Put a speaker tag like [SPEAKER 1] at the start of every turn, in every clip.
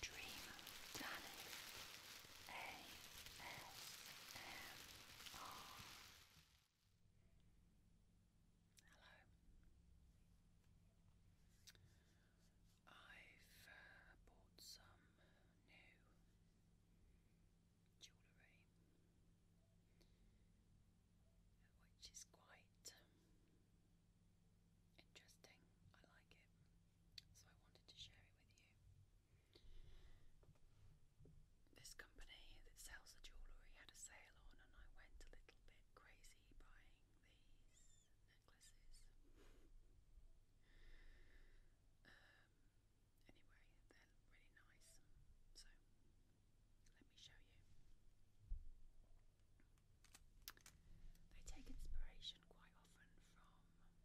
[SPEAKER 1] Dream Danny ASMR. Hello. I've bought some new jewellery, which is quite Interesting, I like it. So I wanted to share it with you. This company that sells the jewellery had a sale on, and I went a little bit crazy buying these necklaces. Um, anyway, they're really nice, so let me show you. They take inspiration quite often from pop culture,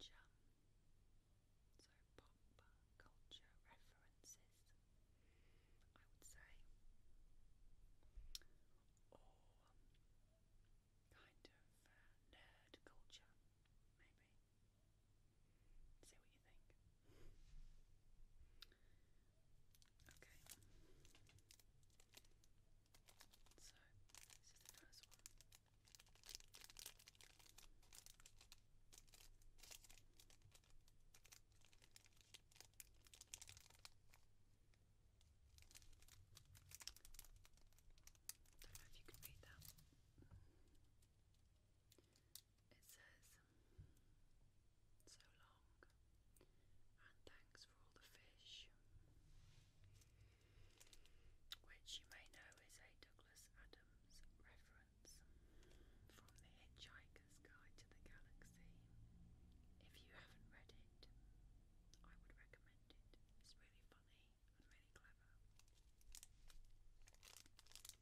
[SPEAKER 1] so pop culture references, I would say, or kind of uh, nerd culture, maybe. See what you think. Okay. So, this is the first one. Don't know if you can read that. It says, So long, and thanks for all the fish, which you may know is a Douglas Adams reference from The Hitchhiker's Guide to the Galaxy. If you haven't read it, I would recommend it. It's really funny and really clever.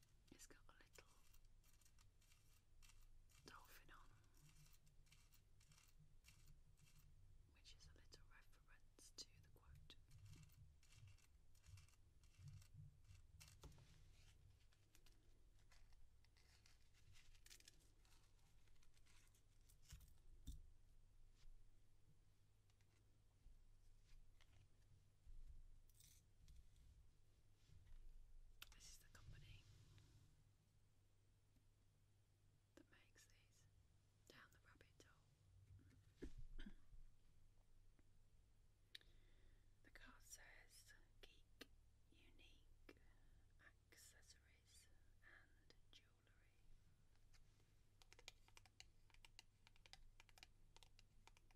[SPEAKER 1] It's got a little dolphin on, which is a little reference to the quote. This is the company that makes these down the rabbit hole. the card says geek, unique accessories and jewellery.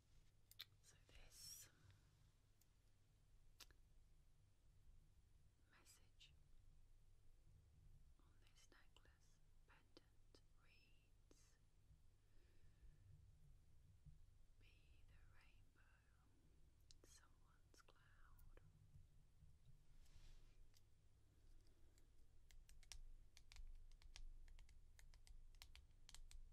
[SPEAKER 1] So this message on this necklace pendant reads Be the rainbow someone's cloud.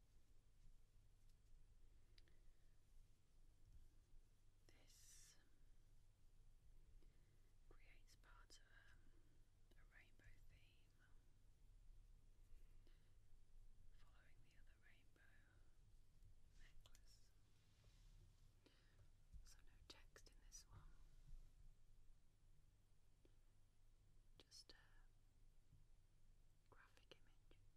[SPEAKER 1] This creates part of um, a, rainbow theme following the other rainbow necklace. So, no text in this one, just a graphic image.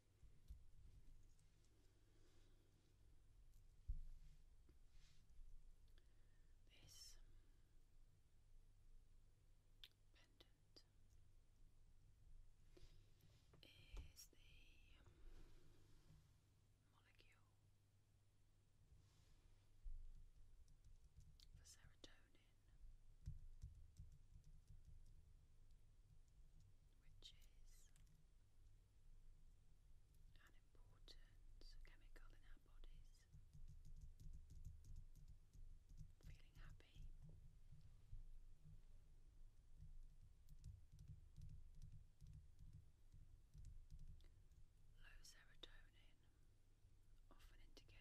[SPEAKER 1] This pendant is the um, molecule for serotonin which is an important chemical in our bodies. Feeling happy. Low serotonin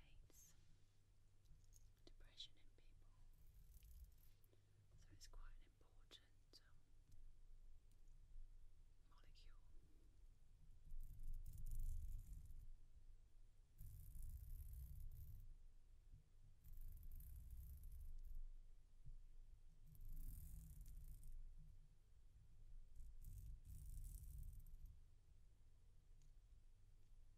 [SPEAKER 1] often indicates depression in people. So it's quite an important um, molecule.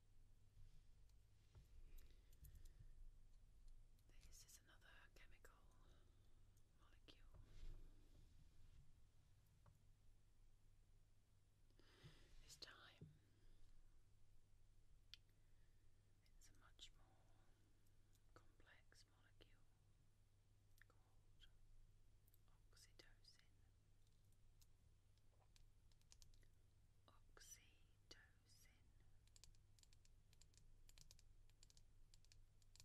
[SPEAKER 1] This is another chemical molecule. This time it's a much more complex molecule called oxytocin. Oxytocin sin. Often referred to as the love chemical. So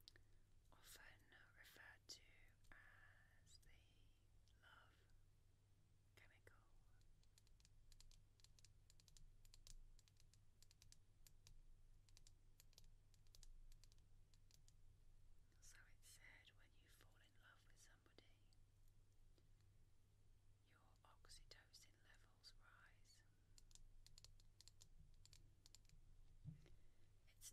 [SPEAKER 1] it's said when you fall in love with someone, somebody, your oxytocin levels rise. It's an important molecule in human bonding. One of the reasons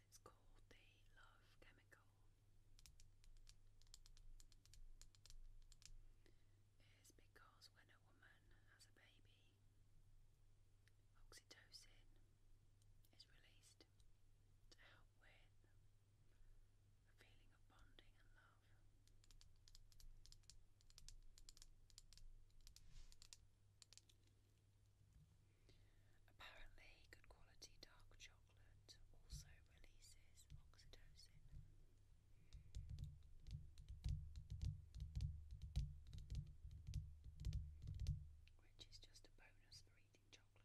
[SPEAKER 1] it's called the love chemical is because when a woman has a baby, oxytocin is released to help with a feeling of bonding and love. Apparently, good quality dark chocolate chocolate also releases oxytocin. Which is just a bonus for eating chocolate, really, because i eat chocolate anyway.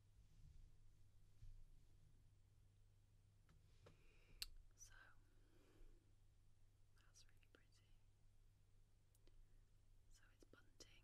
[SPEAKER 1] So that's really pretty. So it's bunting, like a rainbow bunting.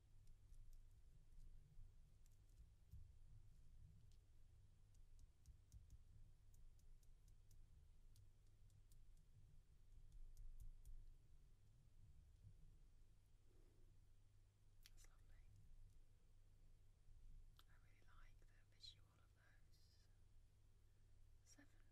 [SPEAKER 1] That's lovely. I really like the visual of those seven triangles. That's super.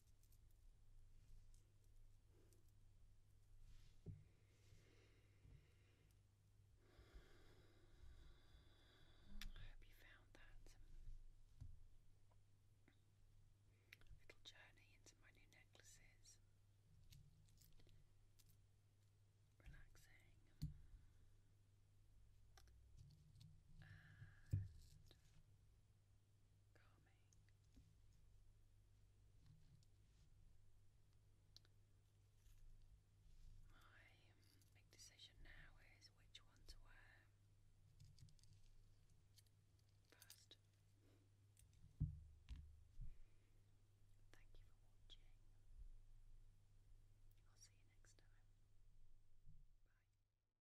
[SPEAKER 1] I hope you found that little journey into my new necklaces relaxing my big decision now is which one to wear first. Thank you for watching. I'll see you next time. Bye.